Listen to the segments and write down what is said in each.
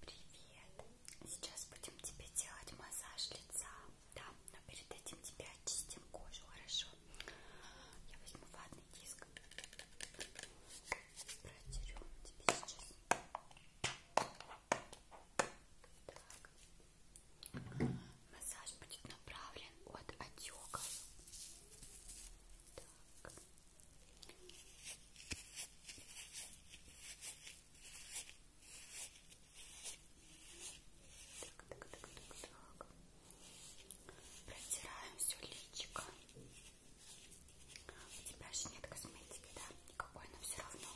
Привет! Сейчас будем тебе делать массаж лица, да, но перед этим тебе очистим кожу, хорошо? Я возьму ватный диск, протерю тебе сейчас. Так. Массаж будет направлен от отеков. Так. Так, так, так, так, так. Протираем все личико. У тебя же нет косметики, да? Никакой, но все равно.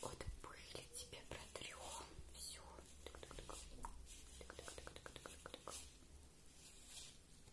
От пыли тебе протрем. Все. Так, так, так. Так, так, так, так, так, так.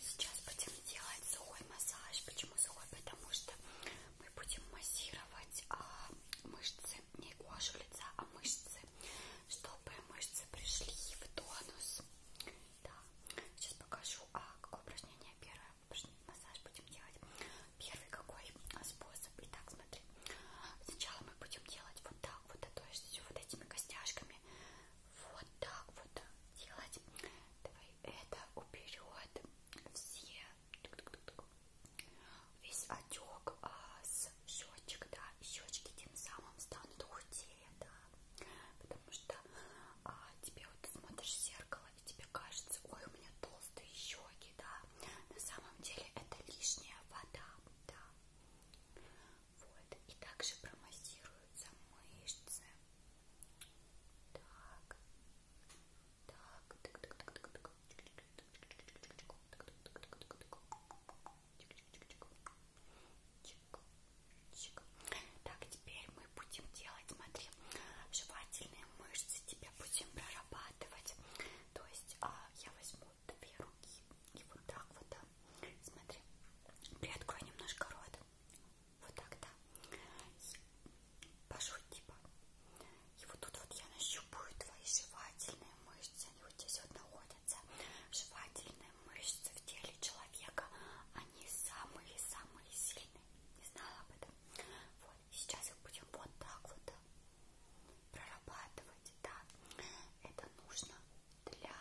Сейчас будем делать сухой массаж. Почему сухой? Потому что мы будем массировать а, мышцы, не кожу лица, а мышцы, чтобы мышцы пришли в тонус. Да. Сейчас покажу, а, какое упражнение первое. Массаж будем делать. Первый какой а, способ. Итак, смотри. Сначала мы будем делать вот так вот, а то есть вот этими костяшками. Вот так вот делать. Давай это уберет все весь отек а, с щечек, да, и щечки тем самым станут худее, да, потому что а, тебе вот смотришь в зеркало и тебе кажется, ой, у меня толстые щеки, да, на самом деле это лишняя вода, да, вот, и также промассируются мышцы, так. Так. Так, так, так, так, так. Так, теперь мы будем делать, смотри, жевательные мышцы тебе будем прорабатывать. То есть а, я возьму две руки и вот так вот, да. смотри, приоткрой немножко рот. Вот так, да. Пошуть, типа. И вот тут вот я нащупаю твои жевательные мышцы. Они вот здесь вот находятся. Жевательные мышцы в теле человека. Они самые-самые сильные. Не знала об этом. Вот. Сейчас их будем вот так вот прорабатывать. Да. Это нужно для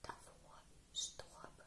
того, чтобы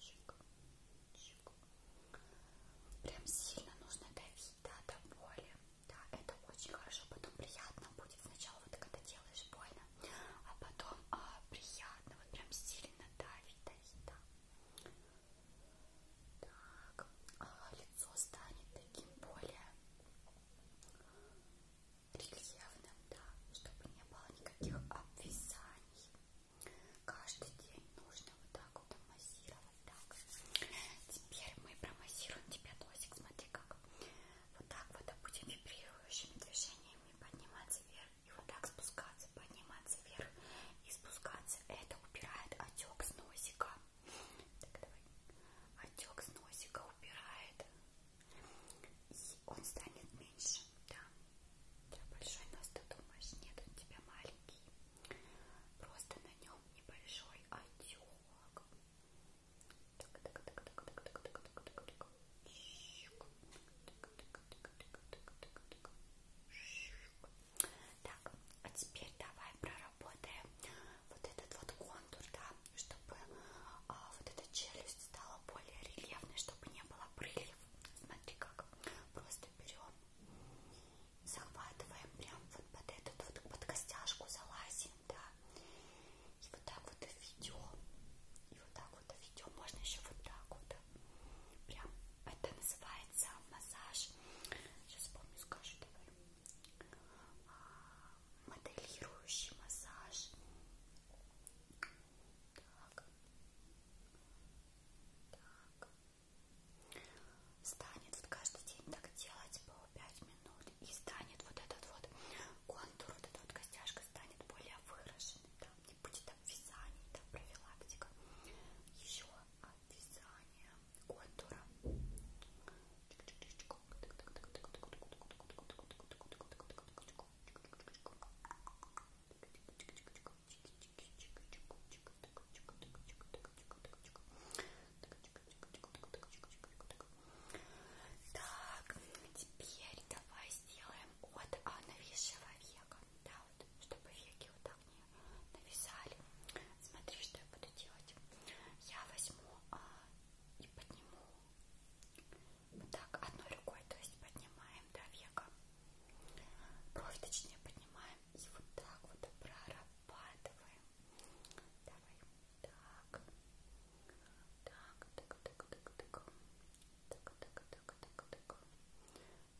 Чик, чик. Прям сильно нужно давить, да, до боли. Да, это очень хорошо, потом приятно будет. Сначала вот когда делаешь больно, а потом а, приятно, вот прям сильно давить, давить, да. Так, а, лицо станет таким более рельефным, да, чтобы не было никаких обвисаний. Каждый день нужно вот так вот массировать. Так. Теперь мы промассируем тебя, Тосик. Смотри как. Вот так вот а будем вибрирующими движениями подниматься вверх. И вот так спускаться, подниматься вверх и спускаться. Это убирает отек с носика. Так, давай. Отек с носика убирает. И он станет меньше. Да. У тебя большой нос, ты думаешь? Нет, у тебя маленький. Просто на нем небольшой отек. Так, так, так, так, так, так, так, так, так, так. Так, а теперь давай проработаем вот этот вот контур, да, чтобы а, вот эта челюсть стала более рельефной, чтобы не было прыльев. Смотри как. Просто берем захватываем прям вот под эту вот под костяшку залазим, да, и вот так вот ведем, и вот так вот ведем, можно еще вот так вот, прям, это называется массаж, сейчас помню, скажу, давай, а, моделирующий массаж, так, так, станет вот каждый день так делать по 5 минут и станет вот этот вот контур, вот эта вот костяшка станет более выраженной, да? не будет обвязаний, да, профилактика, еще обвязание контура. Так, теперь давай сделаем от а, нависшего века. Да, вот, чтобы веки вот так не нависали. Смотри, что я буду делать. Я возьму а, и подниму вот так одной рукой, то есть поднимаем до века. Кровь точнее поднимаем и вот так вот прорабатываем. Давай. Так. Так, так, так, так, так. Так, так, так, так, так.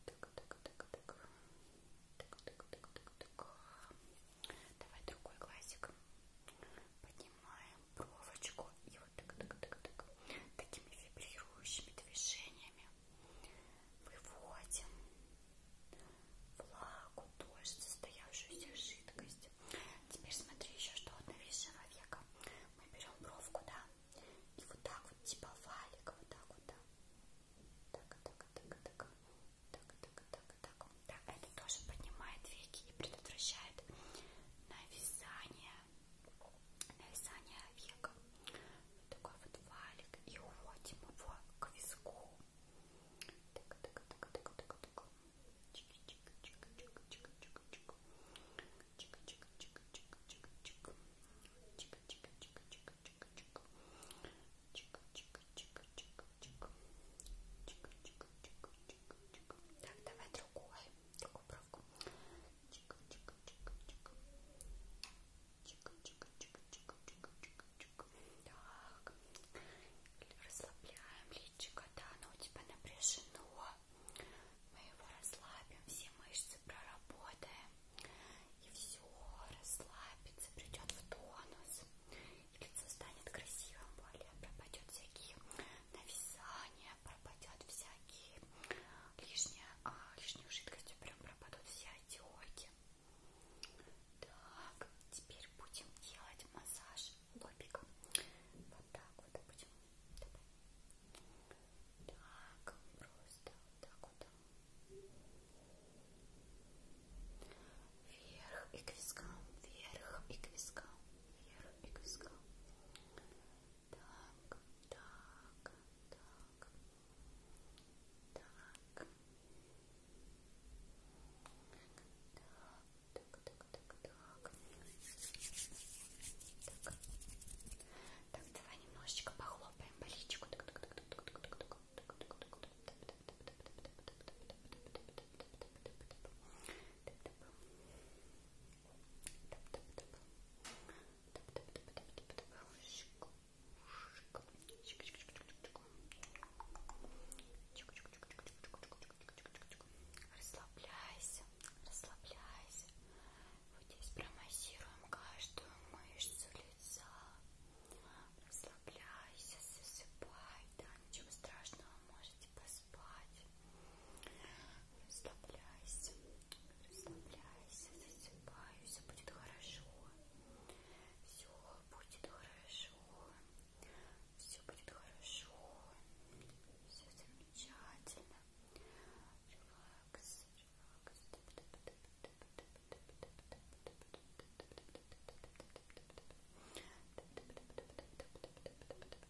Так, так, так, так. Так, так, так, так, так. Давай другой глазик. Поднимаем бровочку и вот так, так, так, так. Такими вибрирующими движениями Выводим влагу, дождь, состоявшуюся жидкость. Теперь смотри еще, что от новейшего века. Мы берем бровку, да, и вот так вот, типа валик, вот так вот, да. Так, так, так, так, так, так, так, так. Да, это тоже поднимает веки и предотвращает нависание нависание века. Вот такой вот валик. И уводим его к виску. Так, так, так, так, так, так. Чик, чик, чик, чик, чик, чик, чик. Чик, чик, чик, чик, чик, чик. Чик, чик, чик, чик, чик, чик. Чик, чик, чик, чик, чик. Чик, чик, чик, чик, чик. Так, давай другой. Другой травку. Чик, чик, чик, чик. Чик, чик, чик, чик, чик, чик, чик. Так. Расслабляем личико, да, оно у тебя напряжено. Мы его расслабим, все мышцы проработаем. И все расслабится, придет в тонус. И лицо станет красивым более, пропадет всякие нависания, пропадет всякие лишняя, а, лишнюю жидкостью прям пропадут все отеки. Так, теперь будем делать массаж лобиком. Вот так вот будем. Так, просто вот так вот. Вверх и к вискам, вверх и к вискам, вверх и к вискам. Так, так, так, так. Так, так, так, так. Так. Так, давай немножечко похлопаем по личику. Так, так, так, так, так, так, так. Так, Расслабляйся, расслабляйся. Вот здесь промассируем каждую мышцу лица. Расслабляйся, засыпай, да, ничего страшного, можете поспать. Расслабляйся, расслабляйся, засыпай, все будет хорошо. Все будет хорошо. Все будет хорошо. Все замечательно. Релакс, релакс. Все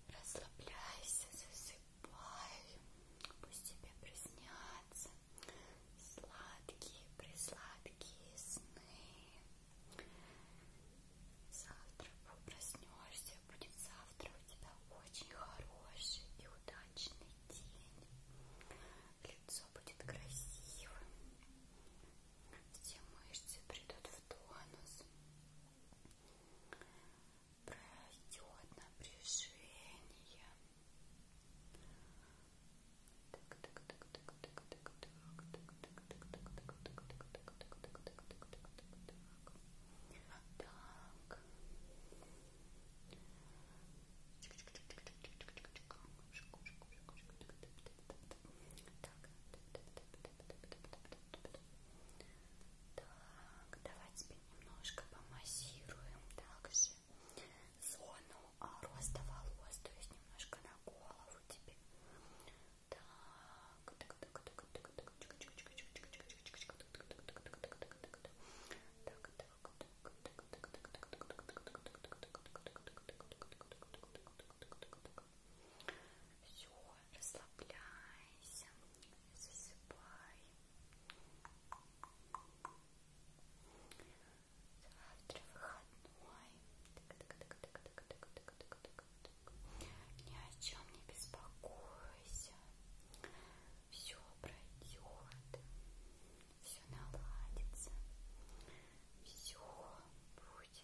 Расслабляйся, засыпай, пусть тебе приснятся сладкие, присладкие сны. Завтра проснешься, будет завтра у тебя очень хороший и удачный день. Лицо будет красивым, все мышцы придут в тонус пройдет напряжение. Так, так, так, так, так, так, так, так, так, так, так, так, так. Так, давайте теперь немножко помассируем также зону роста волос, то есть немножко на голову тебе. Так, так, так, так, так, так, так, так, так, так, так, так, так, все расслабляйся, засыпай. Завтра выходной. Ни о чем не беспокойся. Все пройдет. Все наладится. Все будет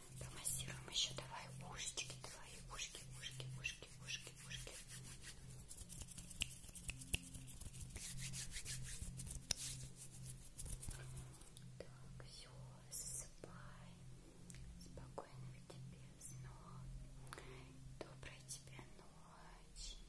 Помассируем еще давай ушечки твои, ушки, ушки, ушки, ушки, ушки. Так, все, засыпай. Спокойных тебе снов. Доброй тебе ночи.